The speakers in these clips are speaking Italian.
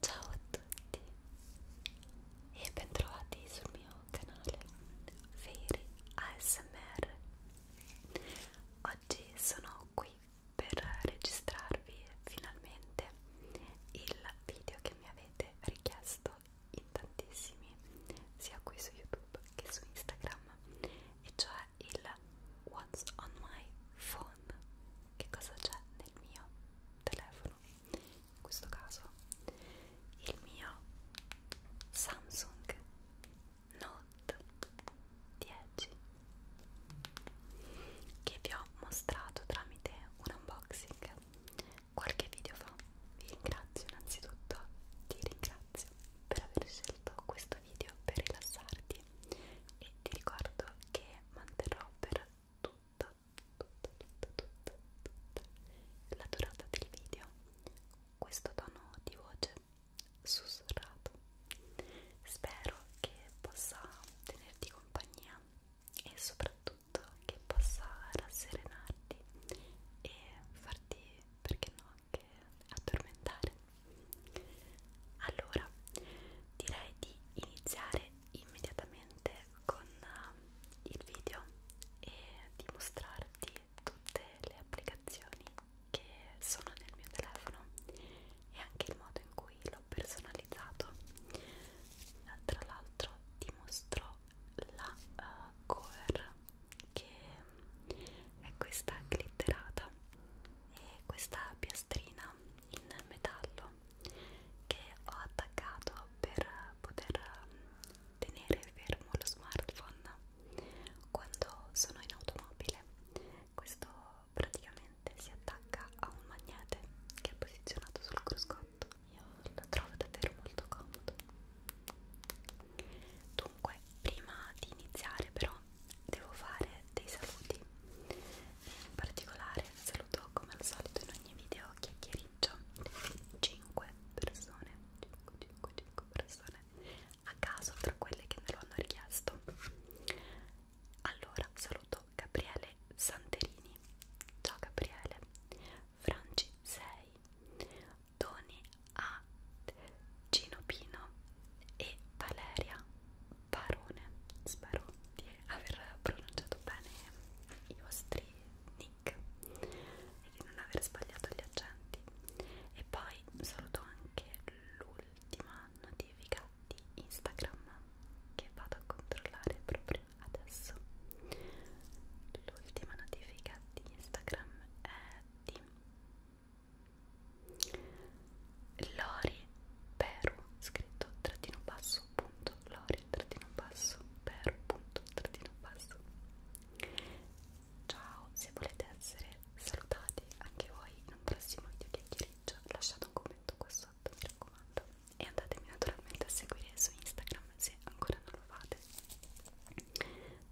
Ciao a tutti e bentrovati sul mio canale Fairy ASMR. Oggi sono qui per registrarvi finalmente il video che mi avete richiesto in tantissimi, sia qui su YouTube che su Instagram, e cioè il What's on my phone iPhone che cosa c'è nel mio telefono in questo caso il mio Samsung Note 10 che vi ho mostrato tramite un unboxing qualche video fa vi ringrazio innanzitutto ti ringrazio per aver scelto questo video per rilassarti iscriverti e ti ricordo che manterrò per tutta, tutta, tutta, tutta, tutta la durata del video questo tono di voce sussurrato. Spero che possa tenerti compagnia e soprattutto che possa rasserenarti e farti, perché no, anche addormentare. Allora, direi di iniziare immediatamente con eh, il video e di mostrarti tutte le applicazioni che sono nel mio telefono e anche il modo in cui l'ho personalizzato. Tra l'altro ti mostro la uh, cover che è questa glitterata e questa piastrina in metallo velo che ho attaccato per poter tenere fermo lo smartphone quando sono in automobile questo praticamente si attacca a un magnete che è posizionato sul cruscotto io lo trovo davvero molto comodo dunque prima di iniziare però devo fare dei saluti in particolare saluto come al solito in ogni video chiacchiericcio 5 persone 5, 5, 5 persone a caso tra quelle che me lo hanno richiesto allora saluto Gabriele Santerini ciao Gabriele Franci 6 Toni A Gino Pino e Valeria Barone, spero di aver pronunciato bene i vostri nick e di non aver sbagliato gli accenti e poi saluto anche l'ultima notifica di Instagram che vado a controllare proprio adesso l'ultima notifica di Instagram è di Lori Peru scritto trattino basso punto Lori trattino basso Peru punto trattino basso Ciao, se volete essere salutati anche voi in un prossimo video chiacchiericcio lasciate un commento qua sotto mi raccomando e andatemi naturalmente a seguire su Instagram se ancora non lo fate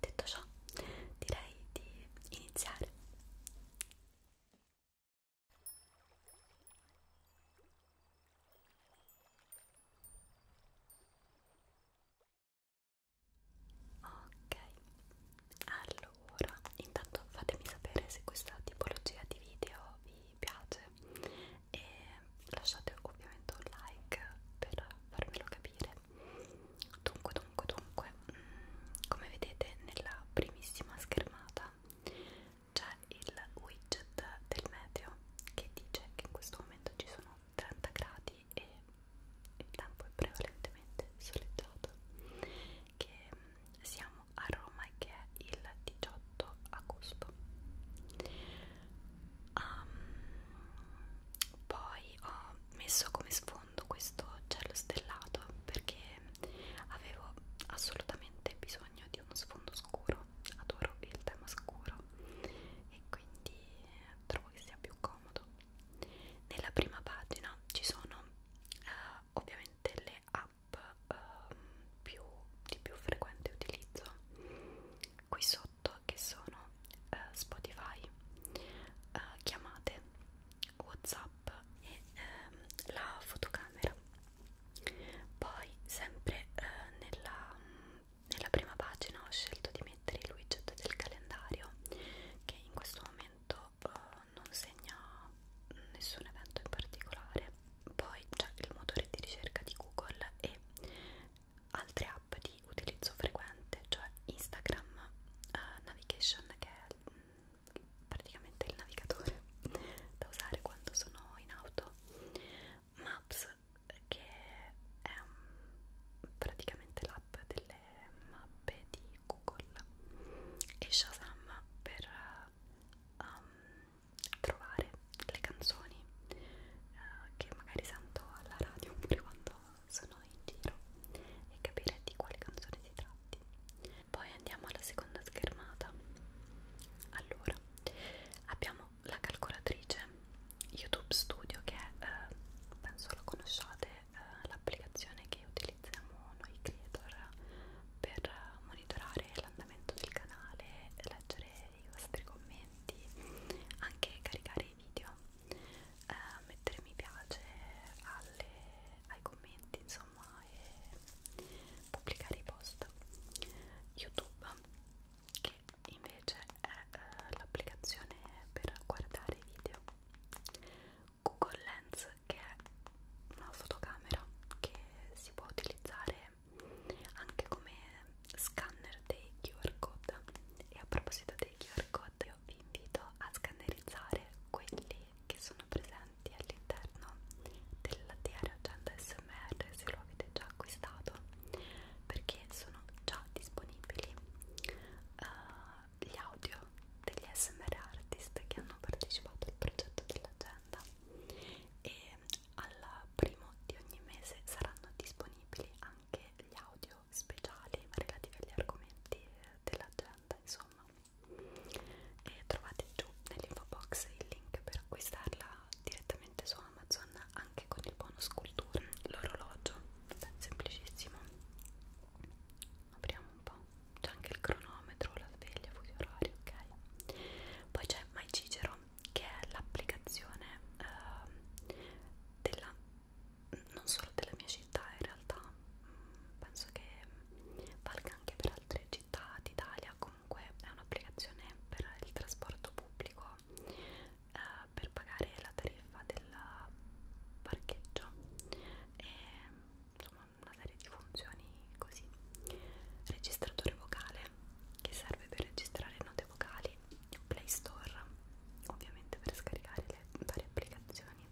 detto ciò direi di iniziare Ok, allora intanto fatemi sapere se questa tipologia di video vi piace e lasciate ovviamente un like per farmelo capire. Dunque, dunque, dunque, mm, come vedete nella primissima schermata c'è il widget del meteo che dice che in questo momento ci sono 30 gradi e il tempo è prevalentemente soleggiato che mm, siamo a Roma e che è il 18 agosto um, poi ho messo come sfondo questo cielo stellato perché avevo assolutamente bisogno di uno sfondo scuro, adoro il tema scuro e quindi eh, trovo che sia più comodo. Nella prima pagina ci sono eh, ovviamente le app eh, più, di più frequente utilizzo qui sotto che sono eh, Spotify, eh, chiamate, Whatsapp e ehm, la fotocamera poi sempre eh, nella, nella prima pagina ho scelto di mettere il widget del calendario che in questo momento eh, non segna nessun evento in particolare poi c'è il motore di ricerca di Google e altre app di utilizzo frequente cioè Instagram eh, Navigation che è mm, praticamente il navigatore da usare quando sono in auto Maps che è um, praticamente l'app delle mappe di Google e Shazam per eh, um, trovare le canzoni uh, che magari sento alla radio oppure quando sono in giro e capire di quale canzone si tratti poi andiamo alla seconda schermata allora abbiamo la calcolatrice youtube studio che è, eh, penso la conosciate eh, l'applicazione che utilizziamo noi creator per monitorare l'andamento del canale leggere i vostri commenti anche caricare i video eh, mettere mi piace alle, ai commenti insomma programma e pubblicare i post youtube che invece è eh, l'applicazione per guardare i video google lens che è una fotocamera che si può utilizzare anche come scanner dei QR code e a proposito dei QR code io vi invito a scannerizzare quelli che sono sono presenti all'interno del diario agenda smr se lo avete già acquistato perché sono già disponibili uh, gli audio degli smr artist che hanno partecipato al progetto dell'agenda e al primo di ogni mese saranno disponibili anche gli audio speciali relativi agli argomenti dell'agenda insomma e trovate giù nell'info box il link per acquistarla direttamente su Amazon anche con il bonus cultura l'orologio semplicissimo apriamo un po' c'è anche il cronometro la sveglia fuso orario ok poi c'è My Cicero che è l'applicazione eh, della non solo della mia città in realtà mm, penso che valga anche per altre città d'Italia comunque è un'applicazione per il trasporto pubblico eh, per pagare la tariffa del parcheggio e insomma una serie di funzioni così registratore vocale che serve per registrare note vocali Play Store ovviamente per scaricare le varie applicazioni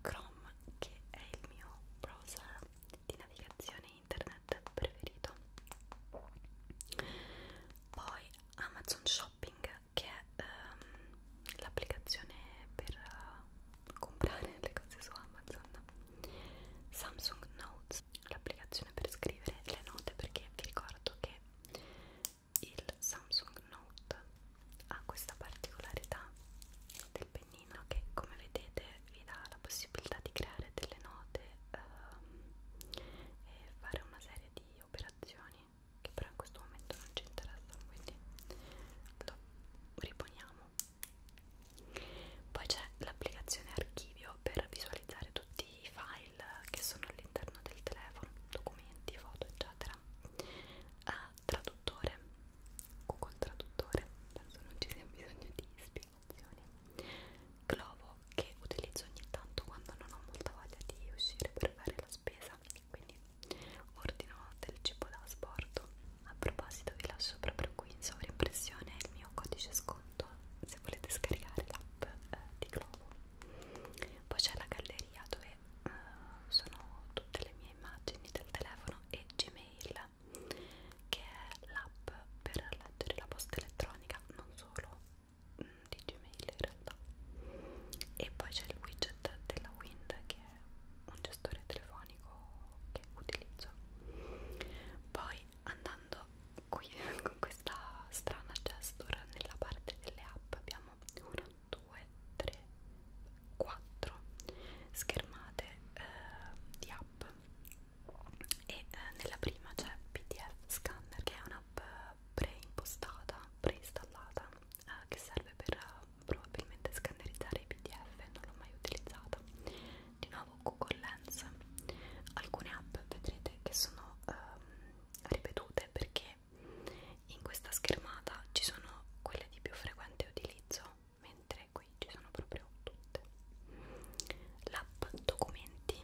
Chrome che è il mio browser di navigazione internet preferito poi Amazon Shopping che è um, l'applicazione per uh, comprare le cose su Amazon Samsung Notes l'applicazione per scrivere le note perché vi ricordo che il Samsung Note ha questa particolarità del pennino pianino che come vedete vi dà la possibilità di creare delle note um, e fare una serie di operazioni che però in questo momento non ci interessano quindi lo riponiamo poi c'è l'applicazione archivio per visualizzare tutti i file che sono all'interno del telefono documenti, foto eccetera ah, traduttore Google traduttore penso non ci sia bisogno di spiegazioni Glovo che utilizzo ogni tanto quando non ho molta voglia di uscire per fare la spesa quindi ordino del cibo da asporto a proposito vi lascio proprio qui in sovraimpressione il mio codice sconto se volete scaricare l'app eh, di Glovo poi c'è la galleria dove eh, sono tutte le mie immagini del telefono e Gmail che è l'app per leggere la posta elettronica, non solo mm, di Gmail in realtà. E poi c'è il widget della Wind che è un gestore telefonico che utilizzo. Poi andando qui con questa strana gesture nella parte delle app abbiamo 1, 2, 3, 4 schermate eh, di app e eh, nella prima c'è PDF Scanner che è un'app preimpostata, preinstallata eh, che serve per eh, probabilmente scannerizzare i PDF, non l'ho mai utilizzata. Di nuovo Google Lens, alcune app vedrete che sono eh, ripetute perché in questa schermata ci sono quelle di più frequente utilizzo mentre qui ci sono proprio tutte l'app documenti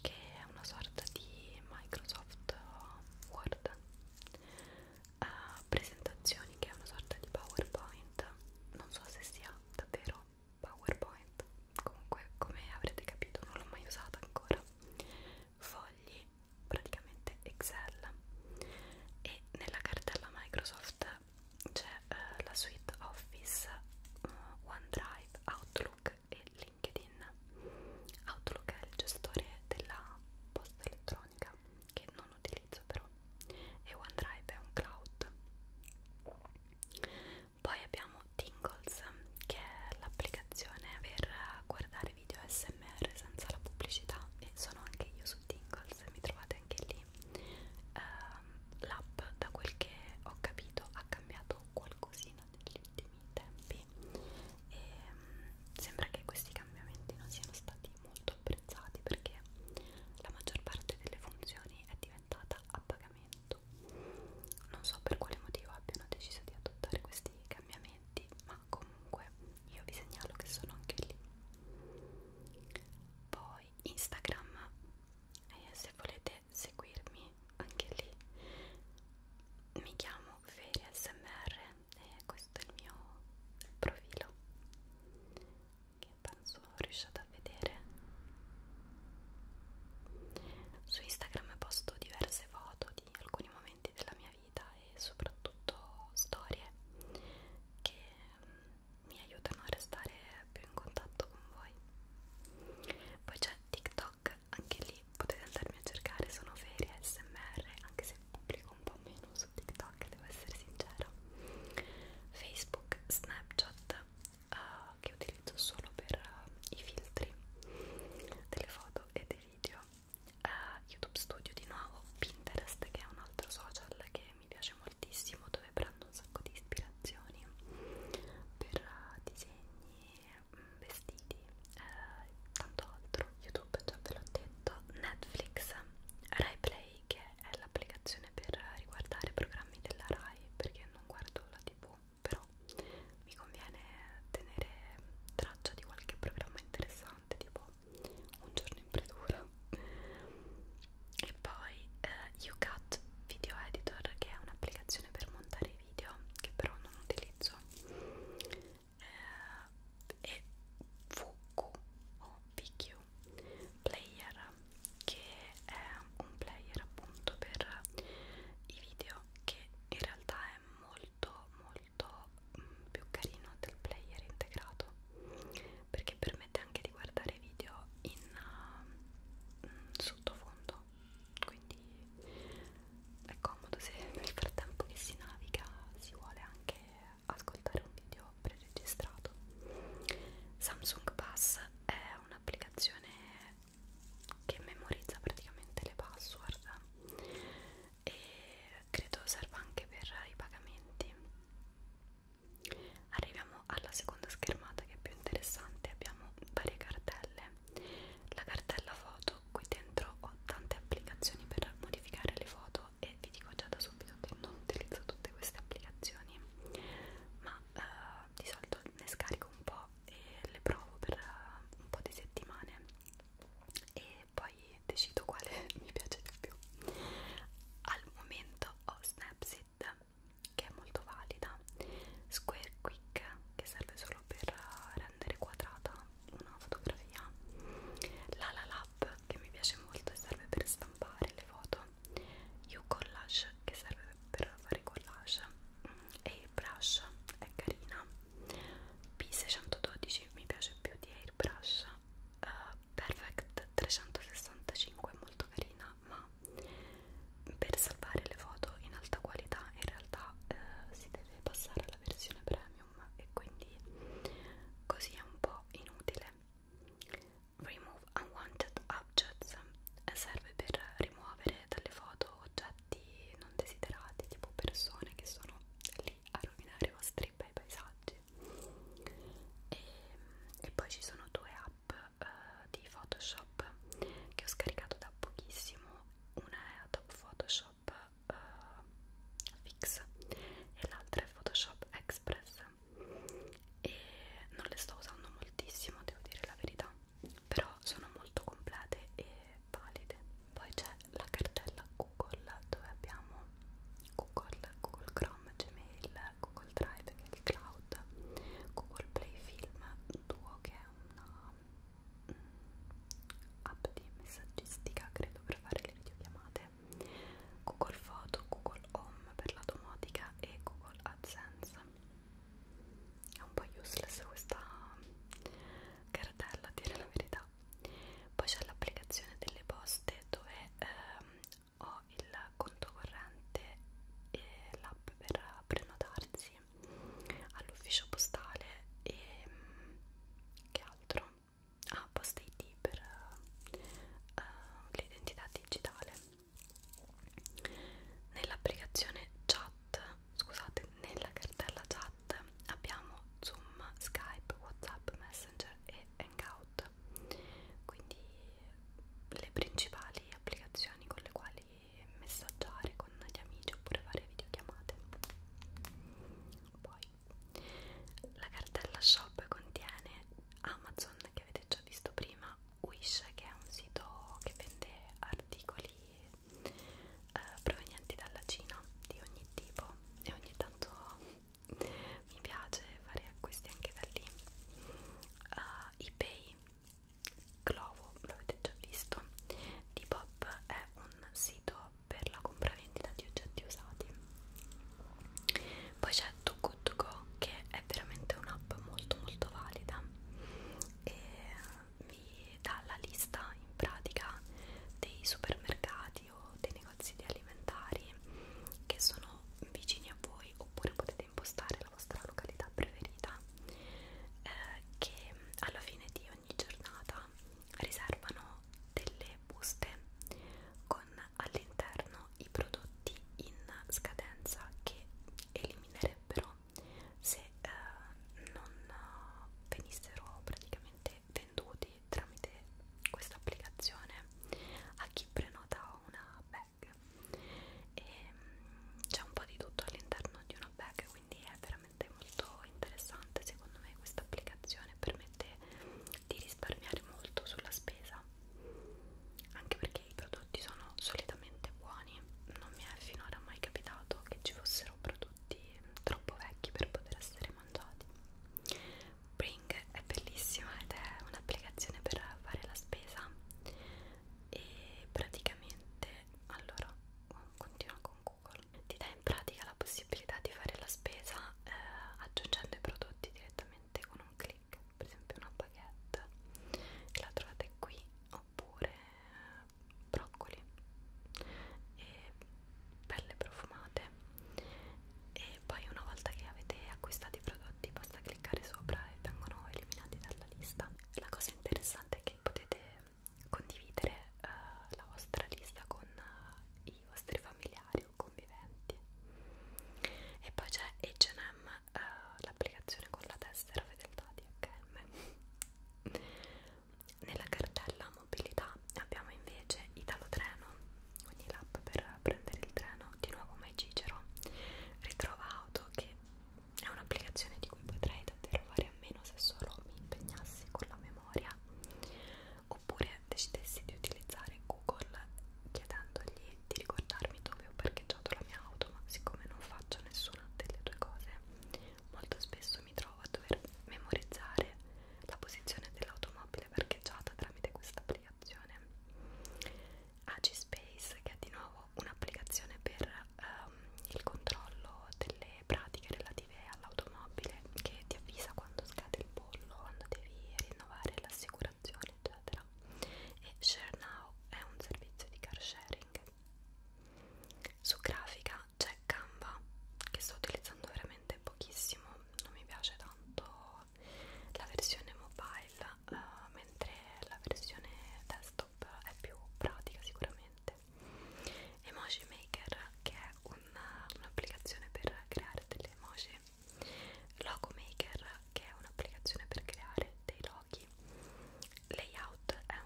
che è una sorta di Microsoft Word uh, presentazioni che è una sorta di PowerPoint non so se sia davvero PowerPoint comunque come avrete capito non l'ho mai usata ancora fogli praticamente Excel e nella cartella Microsoft c'è eh, la suite Office, eh, OneDrive, Outlook e LinkedIn. Outlook è il gestore della posta elettronica che non utilizzo però e OneDrive è un cloud. Poi abbiamo Tingles che è l'applicazione per guardare video SMR senza la pubblicità e sono anche io su Tingles, mi trovate anche lì uh, l'app da quel che ho capito ha cambiato qualcosina negli ultimi tempi e um, sembra che questi cambiamenti non siano stati molto apprezzati perché la maggior parte delle funzioni è diventata a pagamento non so per quale motivo abbiano deciso di adottare questi cambiamenti ma comunque io vi segnalo che sono anche lì poi Instagram eh, se volete seguirmi anche lì mi chiamo Feria SMR e questo è il mio profilo che penso riusciate a vedere su Instagram posto diverse foto di alcuni momenti della mia vita e soprattutto storie che mi aiutano a restare più in contatto con voi poi c'è TikTok, anche lì potete andarmi a cercare, sono ferie SMR, anche se pubblico un po' meno su TikTok, devo essere sincera. Facebook, Snapchat, uh, che utilizzo solo per uh, i filtri delle foto e dei video, uh, YouTube Studio di nuovo, Pinterest che è un altro social che mi piace moltissimo dove prendo un sacco di ispirazioni per eh, disegni, mm, vestiti e eh, tanto altro. YouTube già ve l'ho detto, Netflix, RaiPlay che è l'applicazione per riguardare programmi della Rai perché non guardo la TV, però mi conviene tenere traccia di qualche programma interessante pesante tipo un giorno in predura e poi eh, YouCut Video Editor che è un'applicazione per montare video che però non utilizzo eh, e VQ o VQ Player che è un player appunto per i video che in realtà è molto molto più carino del player integrato perché permette anche di guardare video in uh, sottofondo quindi è comodo se nel frattempo che si naviga si vuole anche ascoltare un video preregistrato Samsung Pass è un'applicazione che memorizza praticamente le password e credo serva anche per i pagamenti Arriviamo alla seconda schermata che è più interessante, abbiamo varie cartelle. La cartella foto, qui dentro ho tante applicazioni per modificare le foto e vi dico già da subito che non utilizzo tutte queste applicazioni, ma eh, di solito ne scarico un po' e le provo per eh, un po' di settimane e e poi decido quale mi piace di più al momento ho Snapseed che è molto valida Square Quick che serve solo per rendere quadrata una fotografia la La Lab che mi piace molto e serve per stampare le foto You Collage che serve per fare collage Airbrush è carina P612 mi piace più di Airbrush uh, Perfect 365 è molto carina ma per salvare le foto in alta qualità in realtà uh, si deve passare alla versione premium e quindi così è un po' inutile Remove Unwanted Objects eh, serve per rimuovere dalle foto oggetti non desiderati tipo persone che sono lì a rovinare i vostri bei paesaggi e, e poi ci sono due app uh, di Photoshop che ho scaricato da pochissimo una è Adobe Photoshop uh, Fix e l'altra è Photoshop Express e non le sto usando moltissimo devo dire la verità però sono molto complete e valide poi c'è la cartella Q Google dove abbiamo Google, Google Chrome, Gmail, Google Drive che è il cloud, Google Play Film Duo che è una mm, app di messaggistica credo per fare le videochiamate, Google Foto, Google Home per la domotica e Google AdSense. È un po' useless questa cartella a dire la verità. Poi c'è l'applicazione delle poste dove ehm, ho il conto corrente e l'app per prenotarsi all'ufficio postale e mm, che altro? Ah, Post ID per uh, l'identità digitale nell'applicazione chat scusate nella cartella chat abbiamo Zoom, Skype, Whatsapp, Messenger e Hangout quindi le principali applicazioni con le quali messaggiare con gli amici oppure fare videochiamate poi la cartella shop contiene Amazon che avete già visto prima Wish che è un sito che vende articoli eh, provenienti dalla Cina di ogni tipo e ogni tanto mi piace fare acquisti anche da lì uh, ebay Clovo, l'avete già visto Depop è un sito per la compravendita di oggetti usati poi c'è Too Good To Go che è veramente un'app molto molto valida e vi dà la lista in pratica dei supermercati supermercati o dei negozi di alimentari che sono vicini a voi oppure potete impostare la vostra località preferita eh, che alla fine di ogni giornata riservano delle buste con all'interno i prodotti in scadenza che eliminerebbero se eh, non eh, venissero praticamente venduti tramite questa applicazione a chi prenota una bag e mm, c'è un po' di tutto all'interno di una bag quindi è veramente molto interessante secondo me questa applicazione permette di risparmiare molto sulla spesa anche perché i prodotti sono solitamente buoni non mi è finora mai capitato che ci fossero prodotti mm, troppo vecchi per poter essere mangiati Bring è bellissima ed è un'applicazione per fare la spesa e praticamente allora continua con Google ti dà in pratica la possibilità di fare la spesa eh, aggiungendo i prodotti direttamente con un clic per esempio una baguette che la trovate qui oppure eh, broccoli e belle profumate e poi una volta che avete acquistato i prodotti basta cliccare sopra e vengono eliminati dalla lista la cosa interessante è che potete condividere uh, la vostra lista con uh, i vostri familiari o conviventi e poi c'è H&M uh, l'applicazione con la tessera fedeltà di H&M nella cartella mobilità abbiamo invece Italo Treno ogni lap per prendere il treno, di nuovo My Cicero ritrova auto che è un'applicazione di cui potrei davvero fare a meno se solo mi impegnassi con la memoria oppure decidessi di utilizzare Google chiedendogli di ricordarmi dove ho parcheggiato la mia auto ma siccome non faccio nessuna delle due cose molto spesso mi trovo a dover memorizzare la posizione dell'automobile parcheggiata tramite questa applicazione. Agispace che è di nuovo un'applicazione per um, il controllo delle pratiche relative all'automobile che ti avvisa quando scade il pollo, quando devi rinnovare l'assicurazione eccetera. E ShareNow è un servizio di car sharing. Su grafica c'è Canva che sto utilizzando veramente pochissimo, non mi piace tanto la versione mobile uh, mentre la versione desktop è più pratica sicuramente Emoji Maker che è un'applicazione un per creare delle emoji Logo Maker che è un'applicazione per creare dei loghi Layout è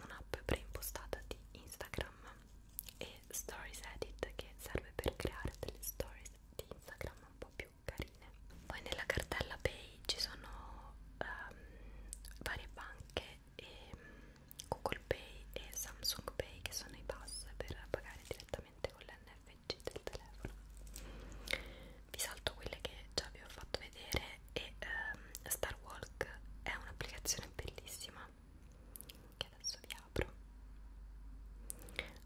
un'app preimpostata di Instagram e Stories Edit che serve per creare delle stories di Instagram un po' più carine. Poi nella cartella Pay ci sono um, varie banche e um, Google Pay e Samsung Pay che sono i pass per pagare direttamente con l'NFC del telefono. Vi salto quelle che già vi ho fatto vedere e um, Star Walk è un'applicazione bellissima che adesso vi apro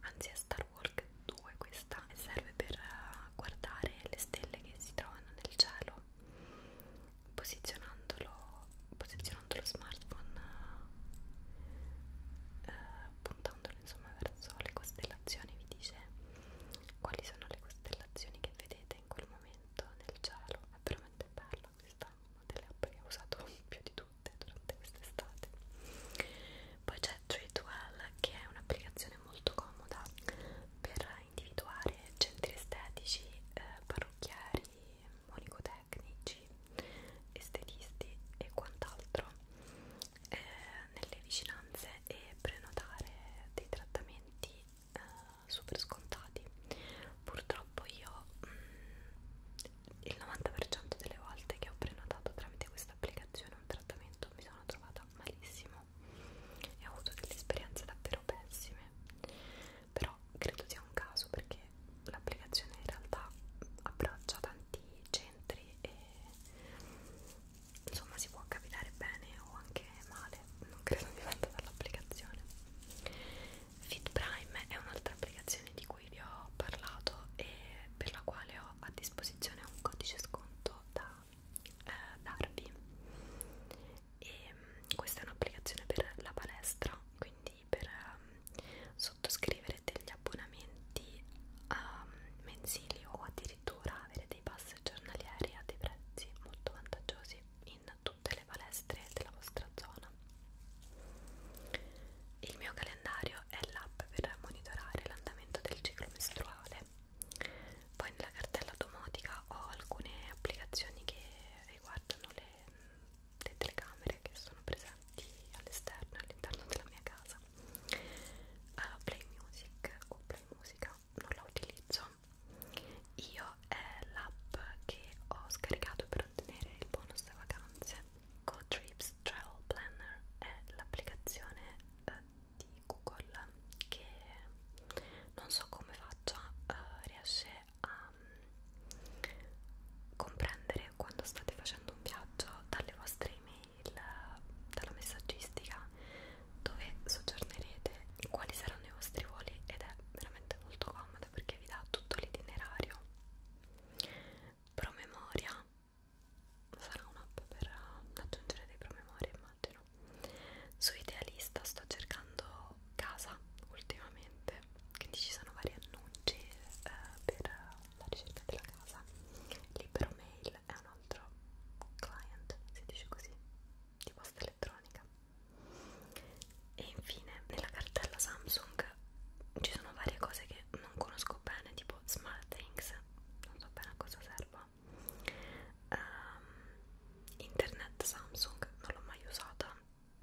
anzi è Star Walk 2 questa e serve per eh, guardare le stelle che si trovano nel cielo posizionandolo posizionando lo smartphone eh, puntandolo insomma verso le costellazioni vi dice quali sono le costellazioni che vedete in quel momento nel cielo è veramente bella questa delle app che ho usato più di due tutte durante quest'estate poi c'è Treatwell che è un'applicazione molto comoda per individuare centri estetici, eh, parrucchieri, monicotecnici, estetisti e quant'altro eh, nelle vicinanze e prenotare dei trattamenti eh, super scontati purtroppo io mh, mm, il 90% delle volte che ho prenotato tramite questa applicazione un trattamento mi sono trovata malissimo e ho avuto delle esperienze davvero pessime però credo sia un caso perché l'applicazione in realtà abbraccia tanti centri e insomma si può capitare bene o anche male non credo dipenda dall'applicazione Fit Prime è un'altra applicazione di cui vi ho parlato e per la quale ho a disposizione un codice sconto da eh, darvi e mm, questa è un'applicazione per la palestra quindi per um, sottoscrivere degli abbonamenti um, mensili o addirittura avere dei pass giornalieri a dei prezzi molto vantaggiosi in tutte le palestre della vostra zona il mio calendario è l'app per monitorare l'andamento del ciclo mestruale. Poi nella cartella domotica ho alcune applicazioni che riguardano le, le telecamere che sono presenti all'esterno, all'interno della mia casa. Uh, play Music o Play Musica non la utilizzo. Io è l'app che ho scaricato per ottenere il bonus vacanze GoTrips Travel Planner è l'applicazione eh, di Google che non so come faccia eh, riesce a um, comprendere quando state facendo un viaggio dalle vostre email, dalla messaggistica dove soggiornerete, quali saranno i vostri voli ed è veramente molto comoda perché vi dà tutto l'itinerario promemoria sarà un'app per eh, aggiungere dei promemoria immagino su idealista sto cercando casa ultimamente quindi ci sono vari annunci eh, per la ricerca della casa libero mail è un altro client si dice così di posta elettronica e infine nella cartella Samsung ci sono varie cose che che non conosco bene, tipo Smart Things, non so bene a cosa serva. Um, Internet Samsung non l'ho mai usata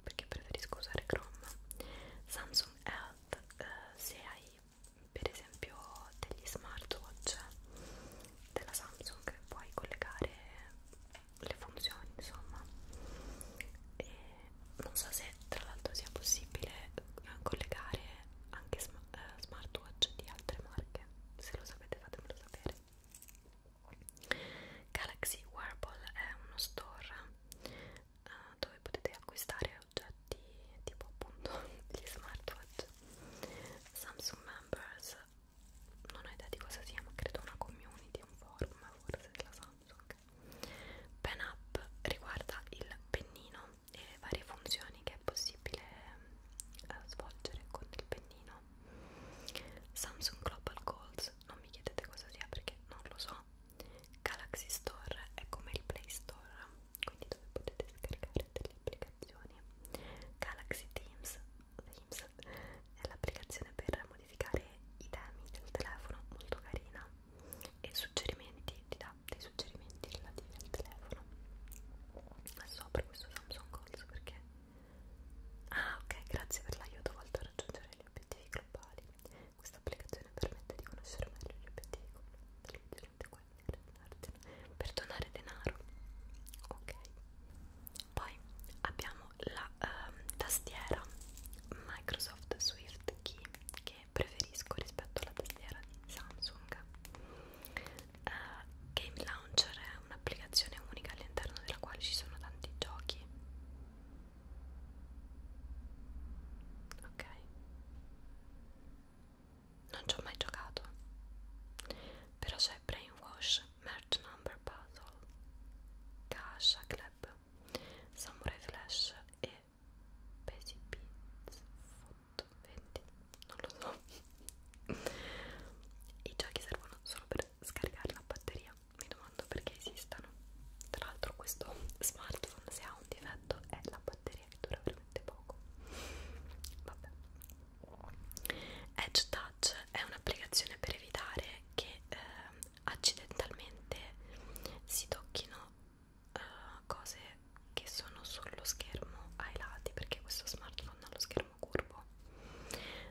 perché preferisco usare Chrome. Samsung Health, eh, se hai per esempio degli smartwatch della Samsung puoi collegare le funzioni insomma e non so se tra l'altro sia possibile eh, collegare anche eh, smartwatch di altre marche se lo sapete fatemelo sapere Galaxy Wearable è uno store uh, dove potete acquistare oggetti tipo appunto gli smartwatch Samsung Members non ho idea di cosa sia ma credo una community, un forum forse della Samsung Samsung. Pen Up riguarda il pennino e le varie funzioni che è possibile eh, svolgere con il pennino. Samsung Global Goals, non mi chiedete cosa sia perché non lo so. Galaxy Store è come il Play Store, quindi dove potete scaricare delle applicazioni. Galaxy Teams, Teams è l'applicazione per modificare modificare i temi del telefono, molto carina e suggerimenti, ti dà dei suggerimenti relativi al telefono sopra questo Samsung Goals perché ah ok grazie per l'aiuto volto a raggiungere gli obiettivi globali questa applicazione permette di conoscere meglio gli obiettivi per donare denaro ok poi abbiamo la um, tastiera Microsoft Swift Key che che preferisco rispetto alla tastiera di Samsung. Uh, Game Launcher è un'applicazione unica all'interno della quale ci sono tanti giochi. Ok. Non ci ho mai giocato. Però c'è Brainwash, Merge Number Puzzle, Gacha Club, Samurai Flash e Pesi Beats Foto 20 non lo so i giochi servono solo per scaricare la batteria mi domando perché esistano tra l'altro questo smartphone se ha un difetto è la batteria che dura veramente poco vabbè Edge Touch è un'applicazione per evitare che eh, accidentalmente si tocchino uh, cose che sono sullo schermo ai lati perché questo smartphone ha lo schermo curvo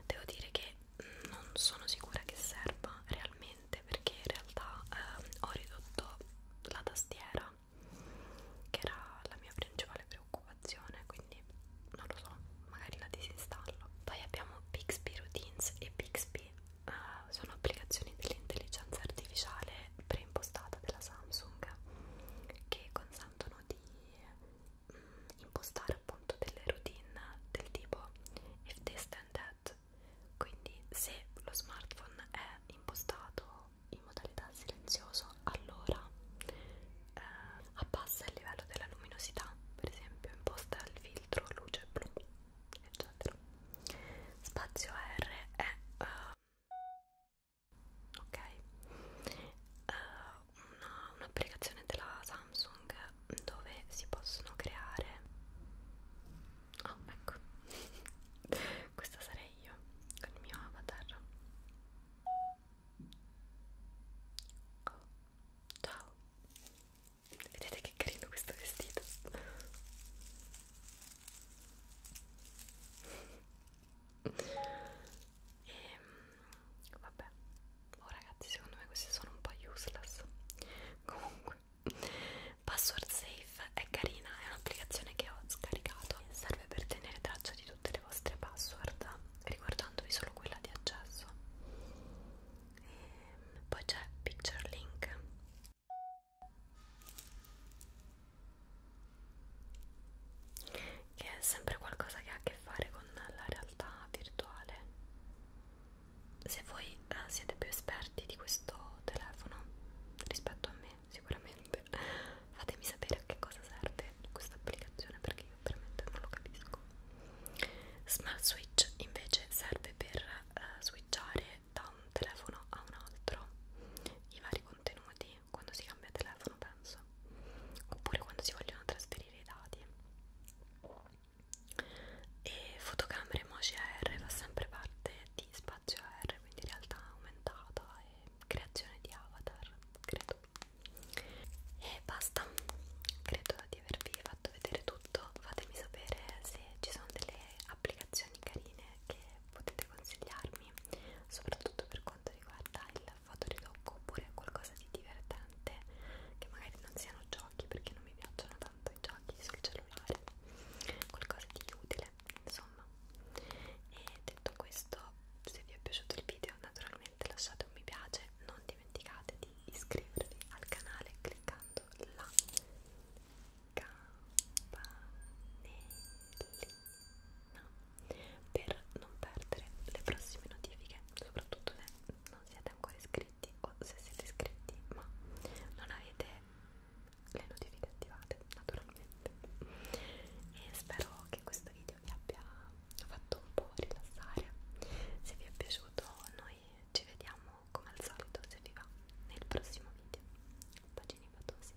devo dire che non sono sicura che serva realmente perché in realtà uh, ho ridotto la tastiera che era la mia principale preoccupazione quindi non lo so magari la disinstallo poi abbiamo Bixby Routines e Bixby uh, sono applicazioni dell'intelligenza artificiale preimpostata della Samsung che consentono di mh, mm, impostare appunto delle routine del tipo if this then that quindi se lo smartphone è impostato in modalità silenzioso allora eh, abbassa il livello della luminosità per esempio imposta il filtro luce blu eccetera spazio R è uh, ok uh, un'applicazione un della Samsung dove si possono creare oh ecco questa sarei io con il mio avatar oh. ciao Vedete che carino questo vestito? e ehm, vabbè, oh ragazzi, secondo me questi sono un po' useless. Comunque, Password Safe è carina, è un'applicazione che ho scaricato. Serve per tenere traccia di tutte le vostre password, riguardandovi solo quella di accesso. E ehm, poi c'è Picture Link che è sempre qualcosa che ha a che fare con la realtà virtuale se voi eh, siete più esperti di questo telefono rispetto a me sicuramente fatemi sapere a che cosa serve questa applicazione perché io veramente non lo capisco Smart Switch invece serve per eh, switchare da un telefono a un altro i vari contenuti quando si cambia telefono penso oppure quando si vogliono trasferire i dati e fotocamere emoji AR fa sempre parte di spazio AR quindi realtà aumentata e creazione di avatar credo e basta credo di avervi fatto vedere tutto fatemi sapere se ci sono delle applicazioni carine che potete consigliarmi soprattutto per quanto riguarda il fotoritocco oppure qualcosa di divertente che magari non siano giochi perché non mi piacciono tanto i giochi sul cellulare qualcosa di utile insomma e detto questo se vi è piaciuto il video naturalmente lasciate un mi piace non dimenticate di iscrivervi al canale cliccando là campanellina per non perdere le prossime notifiche, soprattutto se non siete ancora iscritti o se siete iscritti ma non avete le notifiche attivate naturalmente. E spero che questo video vi abbia fatto un po' rilassare. Se vi è piaciuto, noi noi ci vediamo come al solito se vi va nel prossimo video pagini fatosi